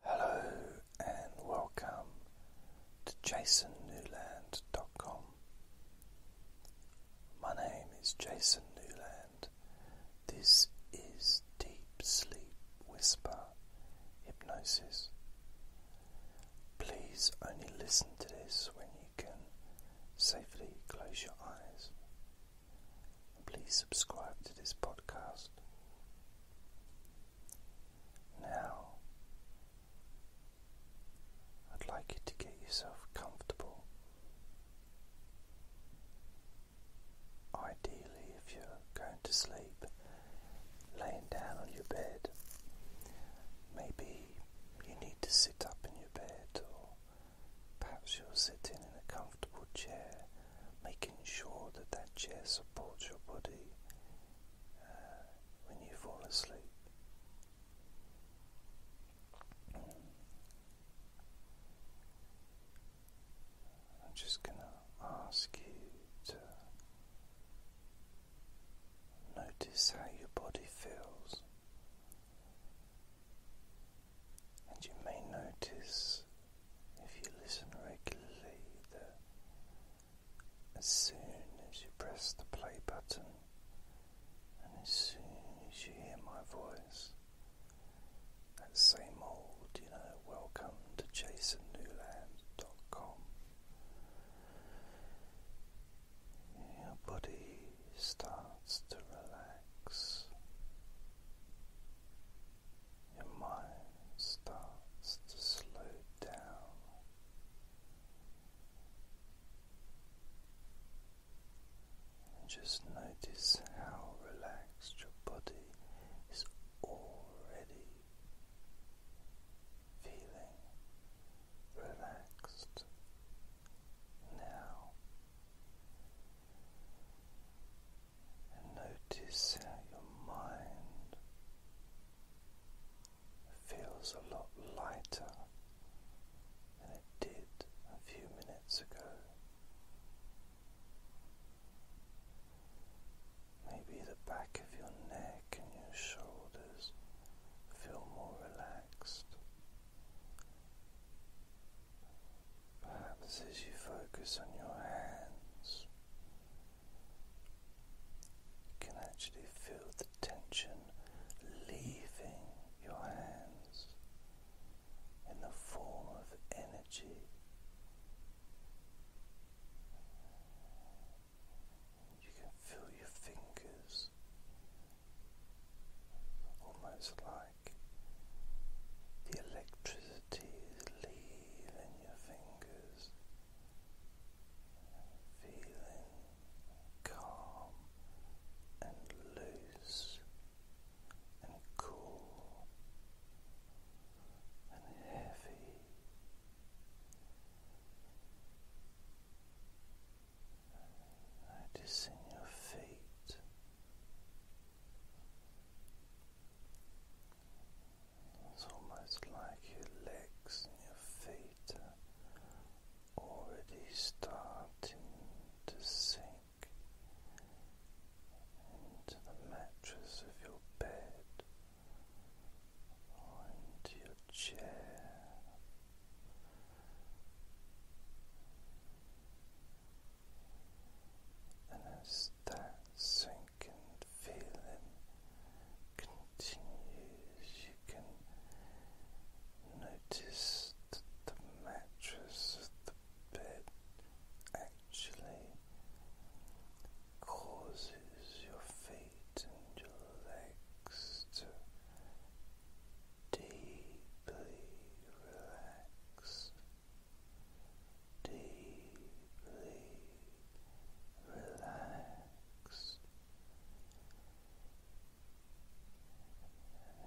Hello and welcome to jasonnewland.com. My name is Jason Newland. This is Deep Sleep Whisper Hypnosis. Please only listen to this when you can safely close your eyes. Please subscribe to this podcast. Now, I'd like you to get yourself comfortable. Ideally, if you're going to sleep, laying down on your bed, maybe you need to sit up in your bed, or perhaps you're sitting in a comfortable chair making sure that that chair supports your body uh, when you fall asleep. I'm just going to ask you to notice how your body feels, and you may notice if you listen regularly, as soon as you press the play button and as soon as you hear my voice, that same old, you know, welcome to jasonnewland.com. Your body starts to relax your mind starts to slow down. And just notice how relaxed your body is already feeling relaxed now and notice how your mind feels a lot lighter than it did a few minutes ago. Maybe the back of your neck and your shoulders feel more relaxed. Perhaps as you focus on your hands, you can actually feel the tension leaving your hands in the form of energy. You can feel your fingers almost like the electricity is leaving your fingers, feeling calm and loose and cool and heavy. Noticing your feet it's almost like your legs and your feet are already starting to sink into the mattress of your bed or into your chair. And as that sinking feeling continues, you can notice that the mattress of the bed actually causes your feet and your legs to deeply relax deeply relax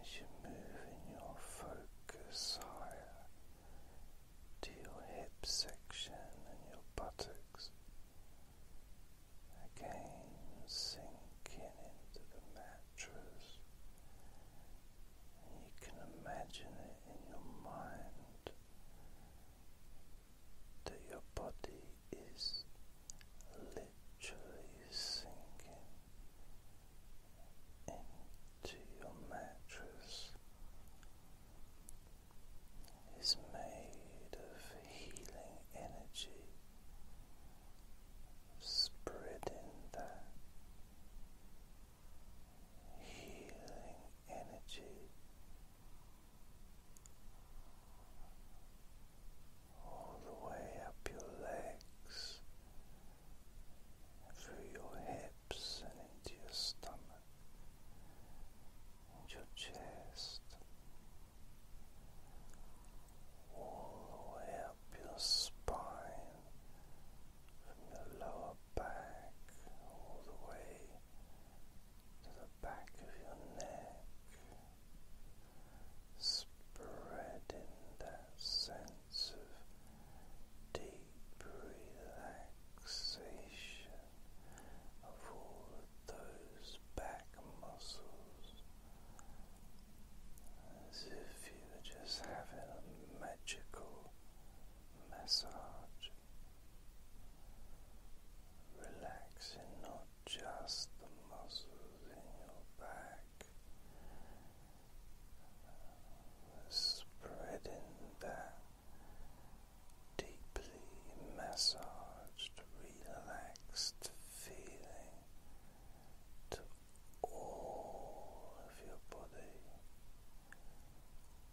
as you move, moving your focus higher to your hip section and your buttocks, again sinking into the mattress you can imagine it in your mind that your body is literally sinking into your mattress. Is made of healing energy spreading the healing energy all the way up your legs, through your hips and into your stomach into your chest. All the way up your spine from your lower back all the way to the back of your neck, spreading that sense of deep relaxation of all those back muscles as if you were just having a magical massage, relaxing not just the muscles in your back, spreading that deeply massaged, relaxed feeling to all of your body,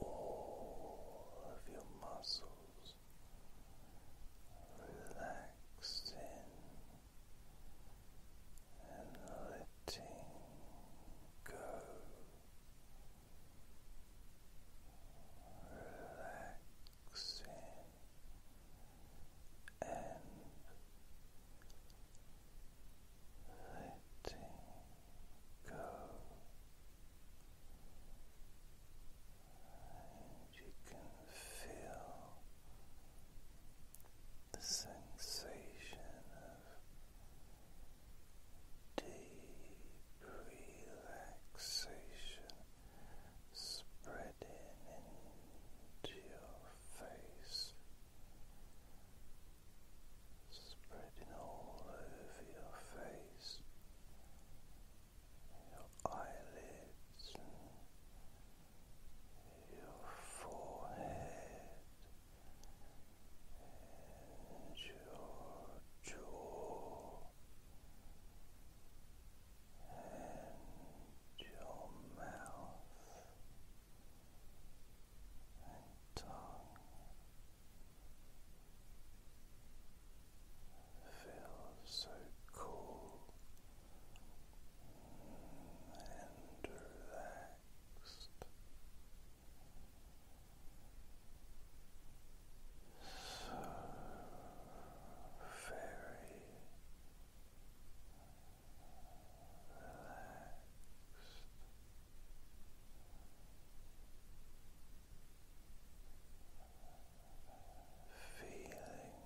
all of your muscles relaxing and letting go. Relaxing and letting go. And you can feel the sensation of deep relaxation spreading spreading into your face, spreading all over your face, your eyelids, your forehead, and your jaw and your mouth and tongue feels so cool and relaxed. So very feeling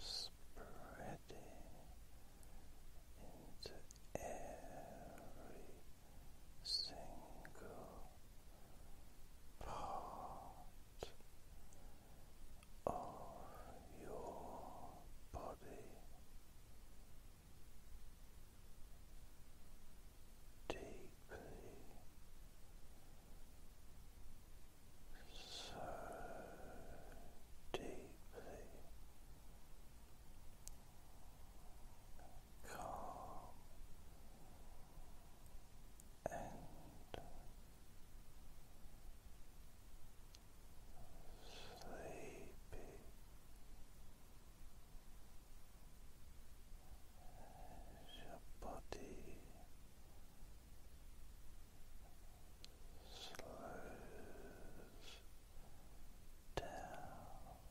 spreading into every single part of your body deeply so deeply calm and sleepy as your body slows down slow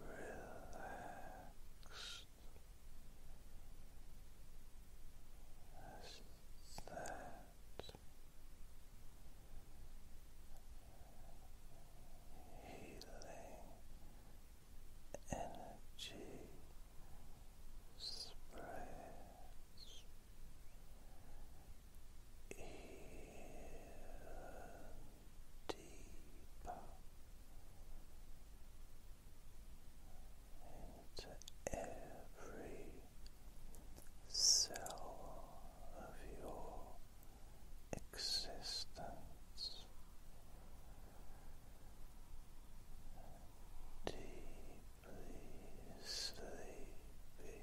relaxed as that healing energy spreads even deeper into every cell of your existence. Deeply sleepy,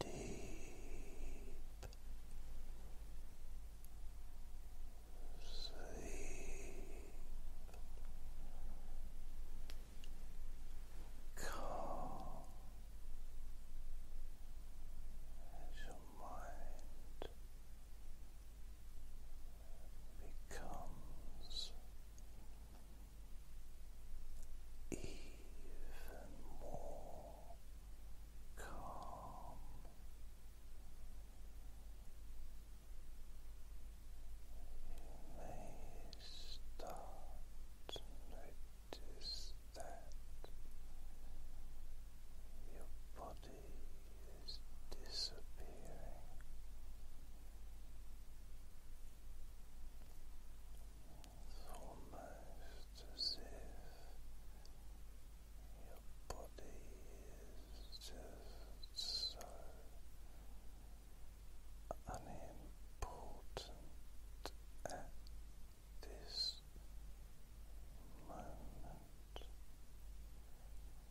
deep sleep calm your mind becomes even more calm. You may start to notice that your body is disappearing. It's almost as if your body is just so unimportant at this moment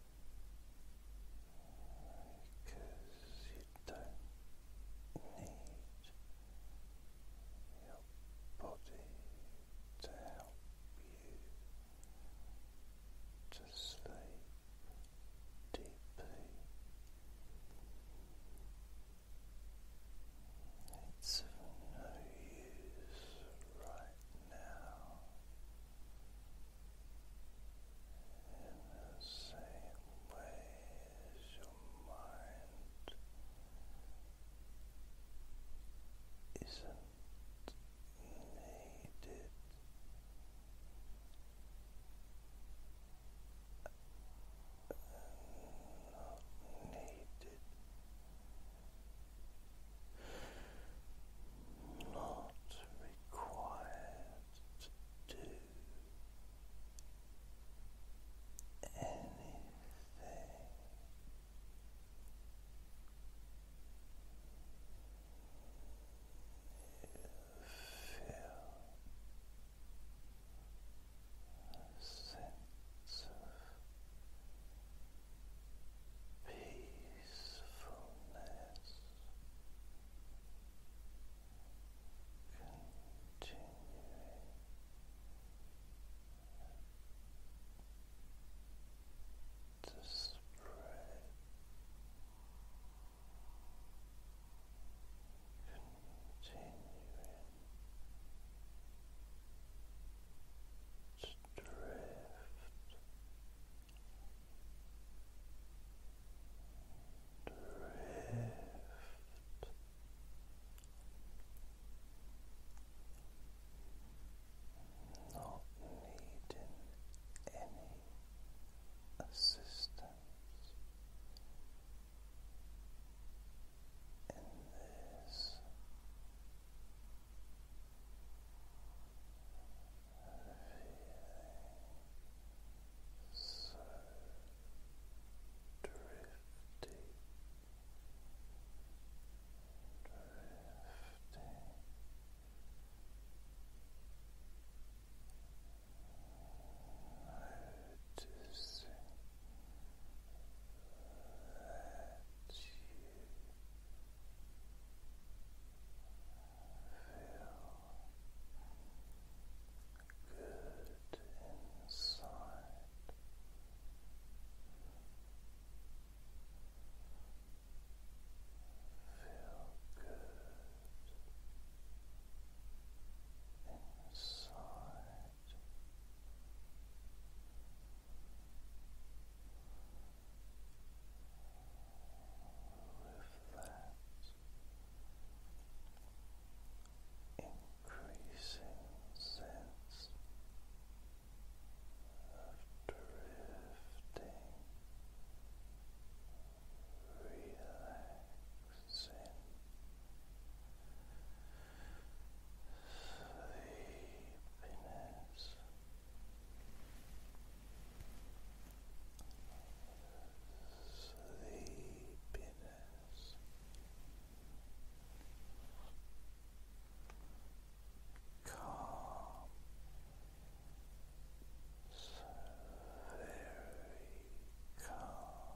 because you don't need your body to help you to sleep deeply. It's of no use right now the same way as your mind isn't needed. not needed not required to do anything. You feel sense of peace peacefulness continuing to spread continuing to drift Drift. Not needing any assistance in this so drifting, drifting. Noticing that you good inside. Feel good inside that increasing sense of drifting, relaxing. Sleepiness, sleepiness calm so very calm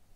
tired